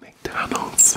McDonald's.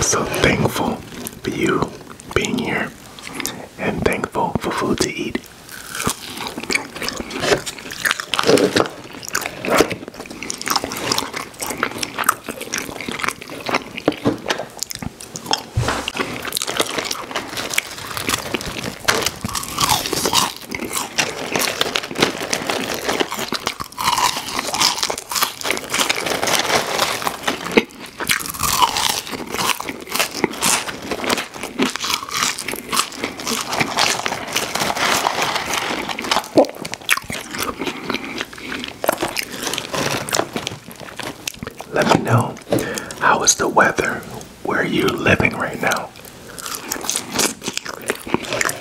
So thankful for you being here and thankful for food to eat. Let me know how is the weather where you are living right now.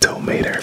Tomater.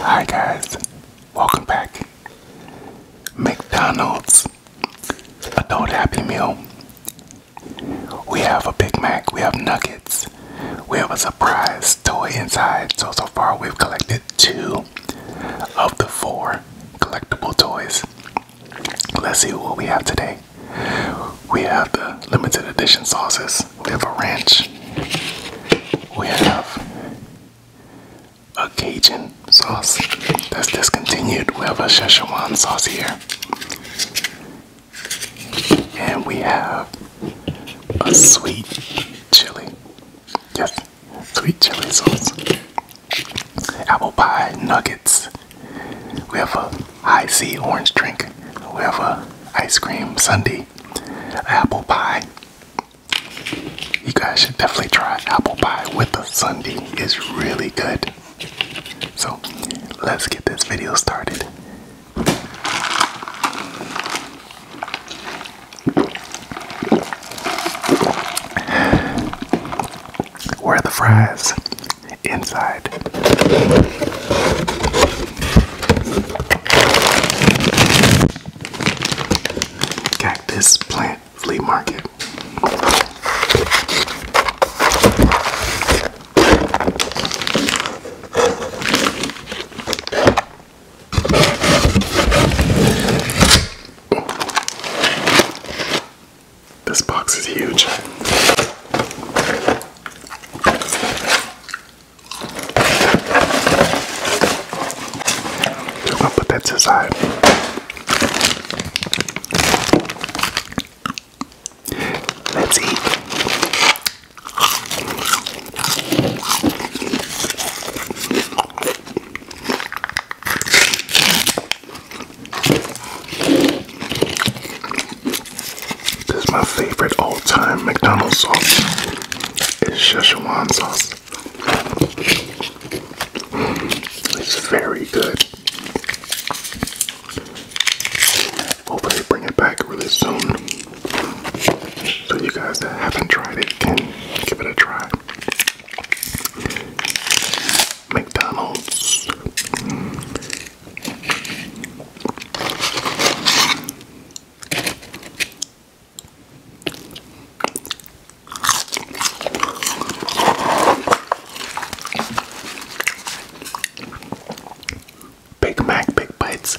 Hi guys, welcome back. McDonald's adult happy meal. We have a Big Mac, we have nuggets, we have a surprise toy inside. So, so far, we've collected two of the four collectible toys. Let's see what we have today. We have the limited edition sauces, we have a ranch, we have a Cajun sauce that's discontinued. We have a Szechuan sauce here. And we have a sweet chili. Yes, sweet chili sauce. Apple pie nuggets. We have a high orange drink. We have a ice cream sundae. Apple pie. You guys should definitely try apple pie with a sundae. It's really good. So let's get this video started. Where are the fries? Inside. Cactus plant flea market. This box is huge. I'll put that to side. Let's eat. This is my favorite all-time McDonald's sauce. It's Szechuan sauce. It's very good. Hopefully, bring it back really soon. So, you guys that haven't tried it can give it a try. McDonald's. Big Mac, Big Bites.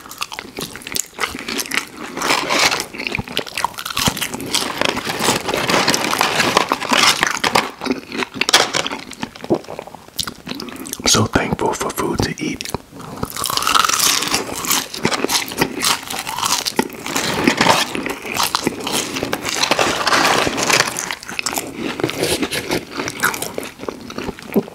I'm so thankful for food to eat.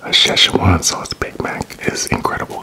A Szechuan sauce Big Mac is incredible.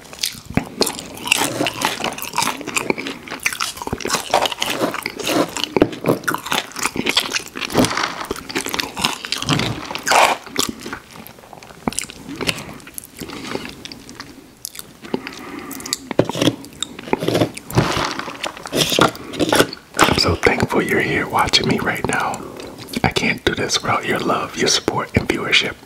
I'm so thankful you're here watching me right now. I can't do this without your love, your support, and viewership.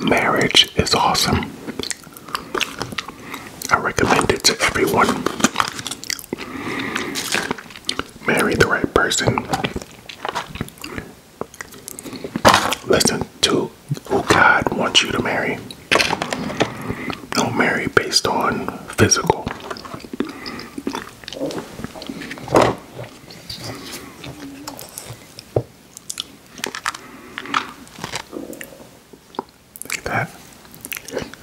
Marriage is awesome. I recommend it to everyone marry the right person. Listen to who God wants you to marry. Don't marry based on physical. Look at that.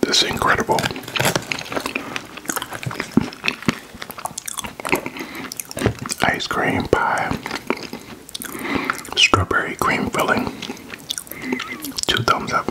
This is incredible. Ice cream pie strawberry cream filling. Two thumbs up.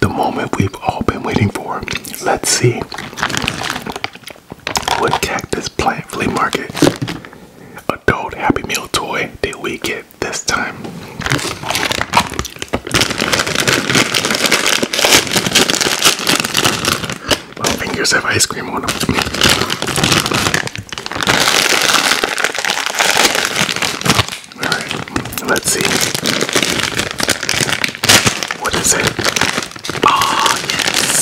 the moment we've all been waiting for. Let's see what cactus plant flea market adult Happy Meal toy did we get this time. My fingers have ice cream on them. All right, let's see. What is it? Oh, yes.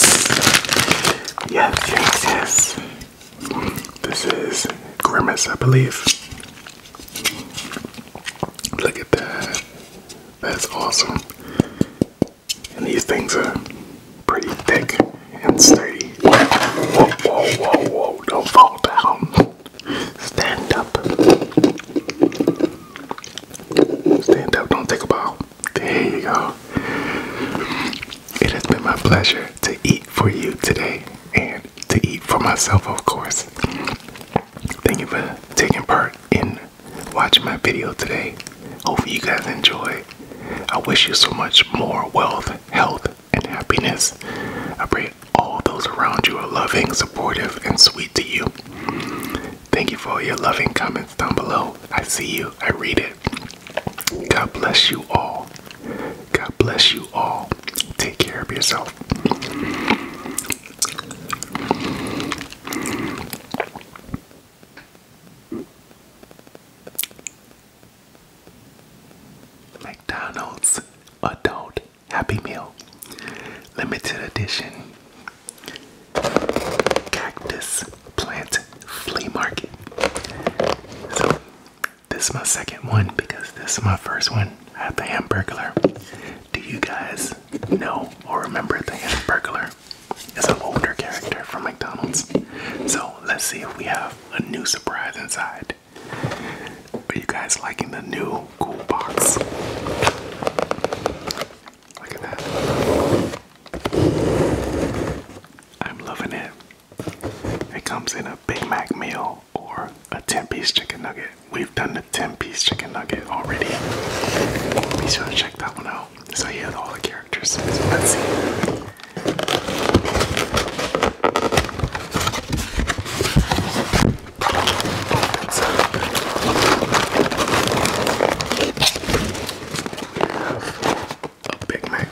Yes, yes, yes. This is Grimace, I believe. Look at that. That's awesome. And these things are pretty thick and sturdy. Whoa, whoa, whoa, whoa, don't fall down. Stand up. Stand up, don't take a bow. There you go. It has been my pleasure to eat for you today and to eat for myself, of course. Thank you for taking part in watching my video today. Hopefully, you guys enjoy. I wish you so much more wealth, health, and happiness. I pray all those around you are loving, supportive, and sweet to you. Thank you for all your loving comments down below. I see you, I read it. God bless you all. God bless you all. Take care of yourself. McDonald's adult Happy Meal. Limited edition. Cactus Plant Flea Market. So, this is my second one because this is my first one at the Hamburglar. Do you guys know or remember the Hamburglar? It's an older character from McDonald's. So, let's see if we have a new surprise inside. Are you guys liking the new cool box. Look at that. I'm loving it. It comes in a Big Mac meal or a 10 piece chicken nugget. We've done the 10 piece chicken nugget already. Be sure to check that one out. So you have all the characters. So let's see a Big Mac.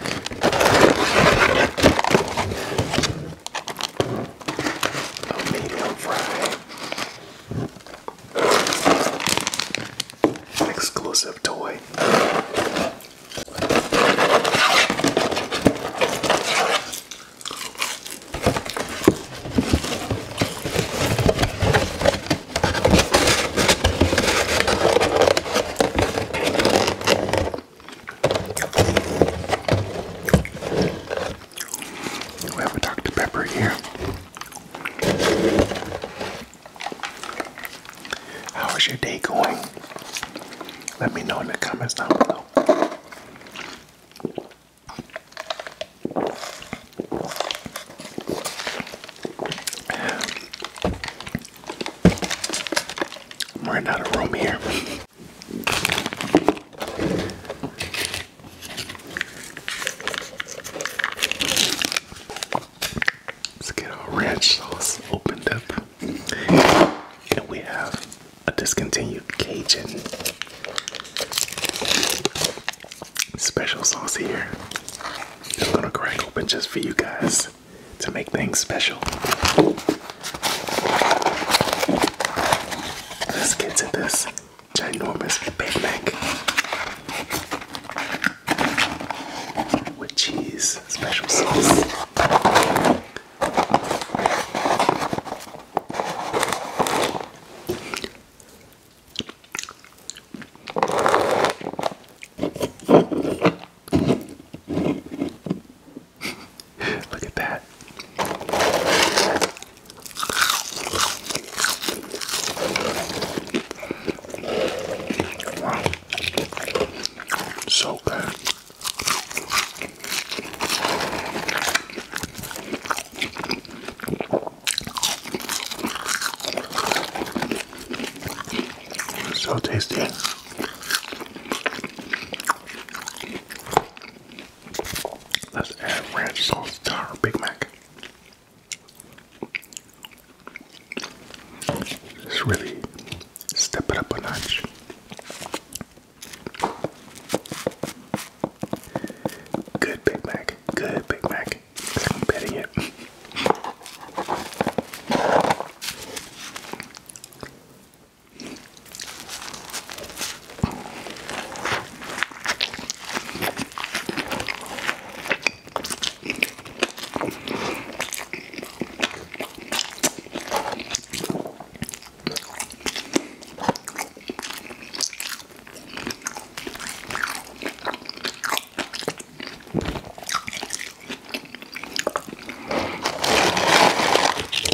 A medium fry. An exclusive toy. We have a Dr. Pepper here. How is your day going? Let me know in the comments down below. We're out of room here. Let's get our ranch sauce opened up. And we have a discontinued Cajun special sauce here. I'm gonna crack open just for you guys to make things special. Let's get to this ginormous Big Mac with cheese, special sauce. Look at that. Wow. So good. So tasty. Let's add ranch sauce to our Big Mac. Just really step it up a notch. Good Big Mac. Good Big Mac. I'm betting it.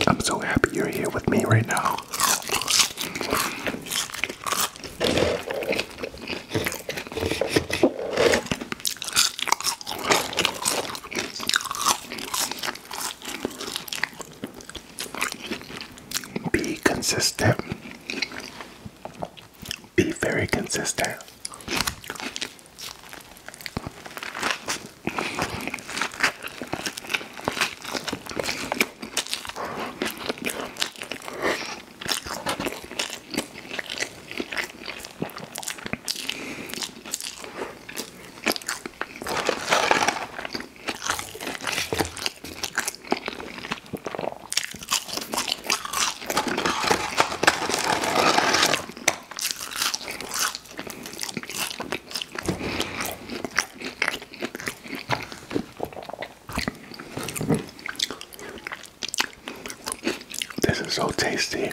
I'm so happy you're here with me right now. Be consistent. Be very consistent. This is so tasty.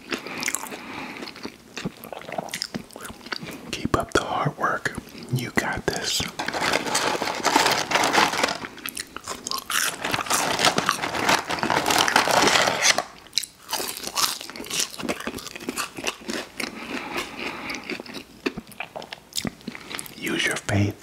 Keep up the hard work. You got this. Use your faith.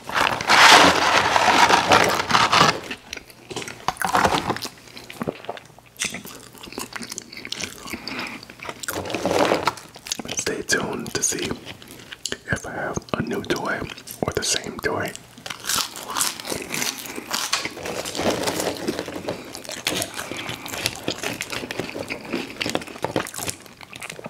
Stay tuned to see if I have a new toy or the same toy.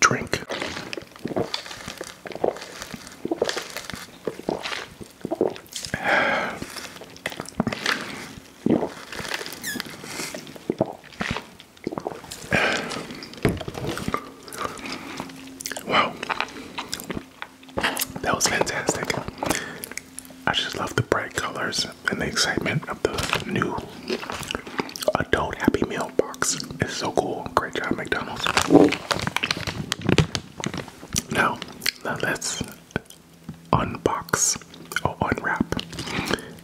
drink. Wow, that was fantastic. I just love the bright colors and the excitement of the new adult Happy Meal box. It's so cool. Great job, McDonald's. Now, now let's unbox or unwrap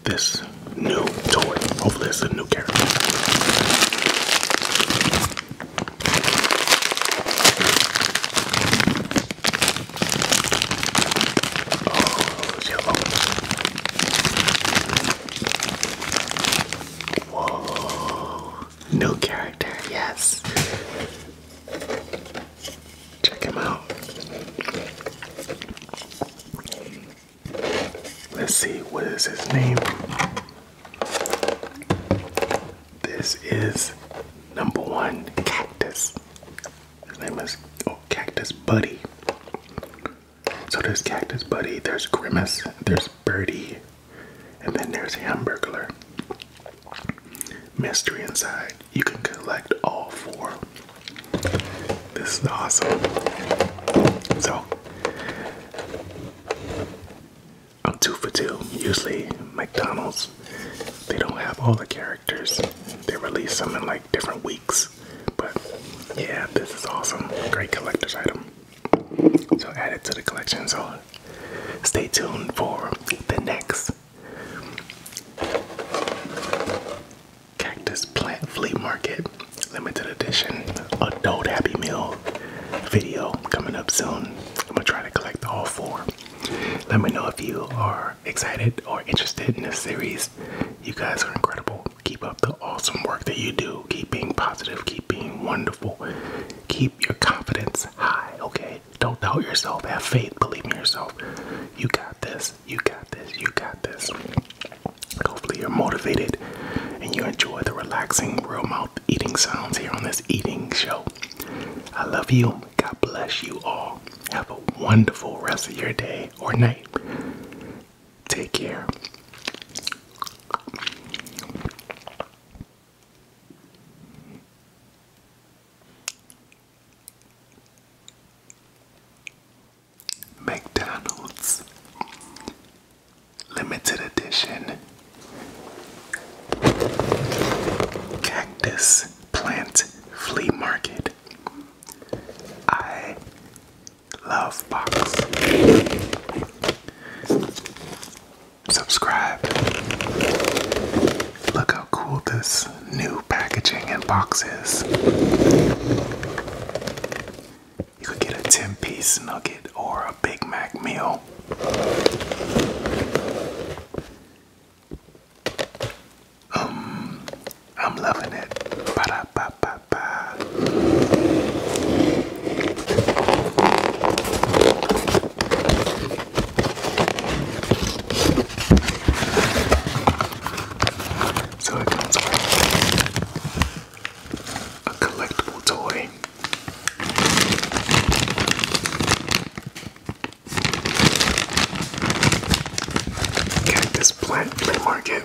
this new toy. Hopefully, it's a new character. Oh, Whoa. New character, yes. Check him out. Let's see, what is his name? This is number one cactus. His name is oh, Cactus Buddy. So there's Cactus Buddy, there's Grimace, there's Birdie, and then there's hamburger. Mystery inside. You can collect all four. This is awesome. So I'm two for two. Usually McDonald's, they don't have all the characters. They release them in like different weeks. But yeah, this is awesome. Great collector's item. So add it to the collection. So stay tuned for the next Cactus Plant Flea Market Limited Edition Adult Happy Meal video coming up soon. I'm gonna try to collect all four. Let me know if you are excited or interested in this series. You guys are incredible. Keep up the awesome work that you do. Keep being positive. Keep being wonderful. Keep your confidence high, okay? Don't doubt yourself. Have faith. Believe in yourself. You got this. You got this. You got this. Hopefully, you're motivated and you enjoy the relaxing, real mouth eating sounds here on this eating show. I love you. God bless you all. Have a wonderful rest of your day or night. Take care. McDonald's Limited Edition Cactus Plant Flea Market. I love box. Subscribe. Look how cool this new packaging and box is. You could get a 10 piece nugget or a Big Mac meal. Um, I'm loving it. Ba a collectible toy. Cactus plant flea market.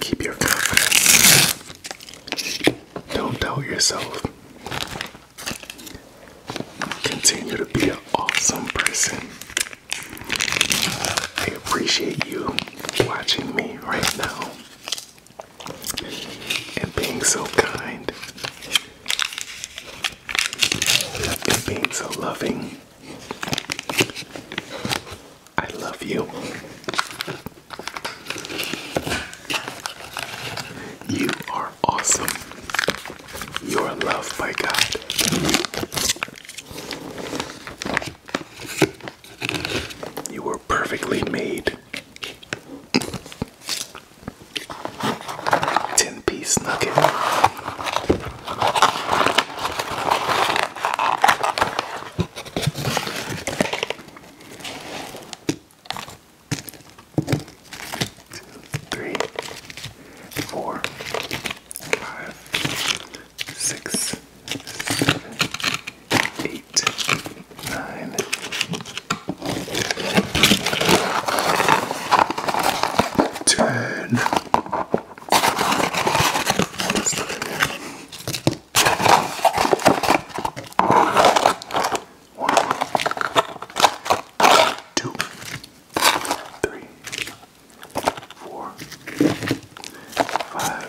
Keep your confidence. Don't doubt yourself. Continue to be an awesome person. I appreciate you watching me right now and being so kind and being so loving. I love you. You are awesome. You are loved by God. You were perfectly made. 10 piece nugget. Three, four, five, six, eight, nine, ten. What's that? One, two, three, four, five.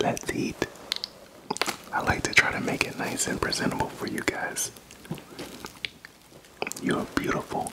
Let's eat. I like to try to make it nice and presentable for you guys. You are beautiful.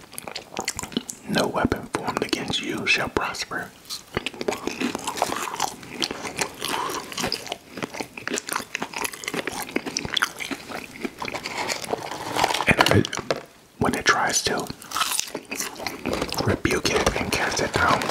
No weapon formed against you shall prosper. And if it, when it tries to, rebuke it and cast it down.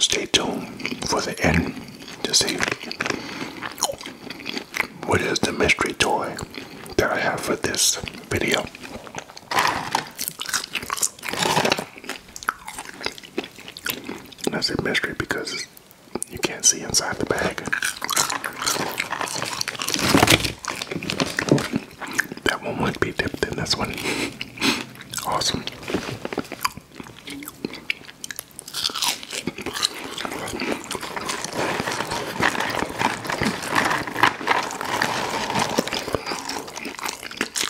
Stay tuned for the end to see what is the mystery toy that I have for this video. That's a mystery because you can't see inside the bag. That one would be dipped in this one. Awesome.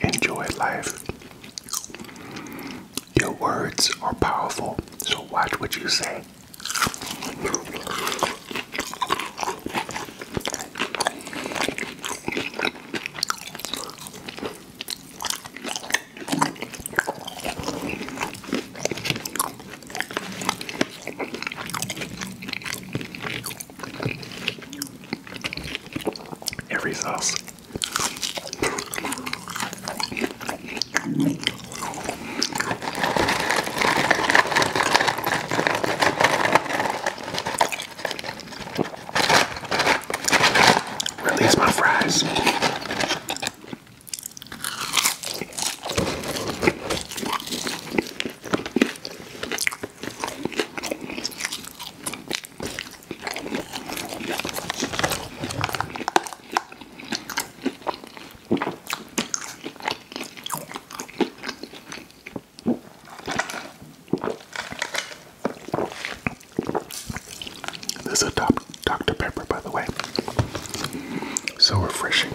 Enjoy life. Your words are powerful, so watch what you say. Every sauce. Release my fries. This is a top Dr. Pepper, by the way. So refreshing.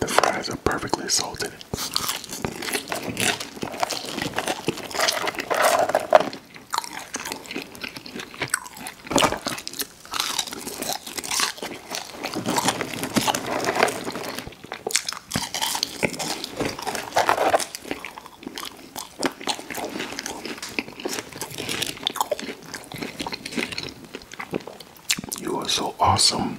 The fries are perfectly salted. You are so awesome.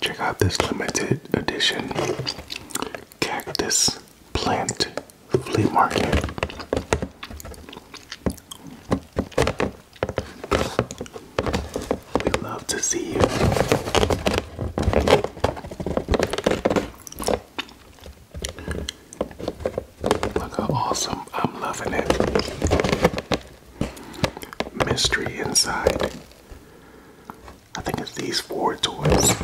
Check out this limited edition cactus plant flea market. We love to see you. Look how awesome. I'm loving it. Mystery inside. I think it's these four toys.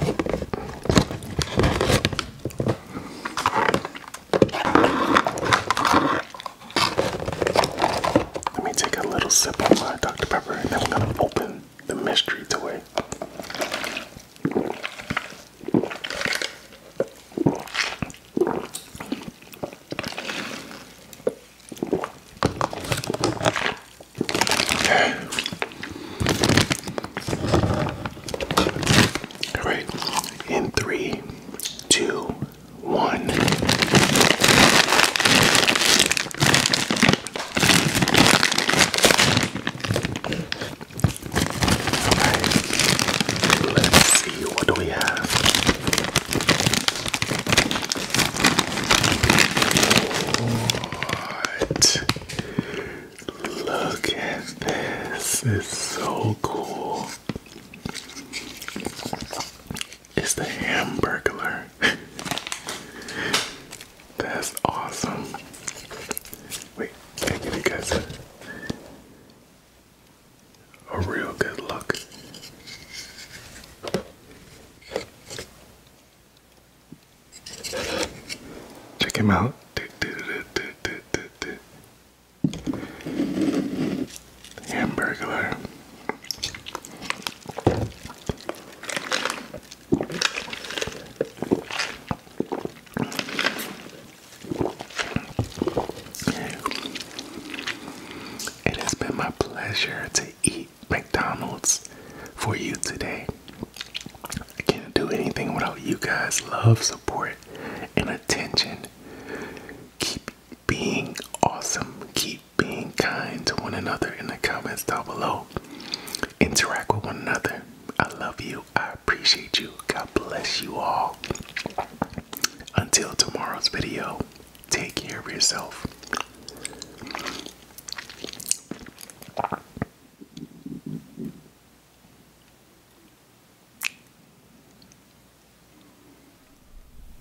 Let me take a little sip of my Dr. Pepper and then we're gonna open the mystery to it. All right. In three, two, one. Alright, let's see what do we have. What? Look at this. It's so cool. It's the Hamburglar. That's awesome. Wait, I give you guys a real good look. Check him out. Hamburglar. It has been my pleasure to eat McDonald's for you today. I can't do anything without you guys' love, support, and attention. Keep being awesome. Keep being kind to one another in the comments down below. Interact with one another. I love you. I appreciate you. God bless you all. Until tomorrow's video, take care of yourself.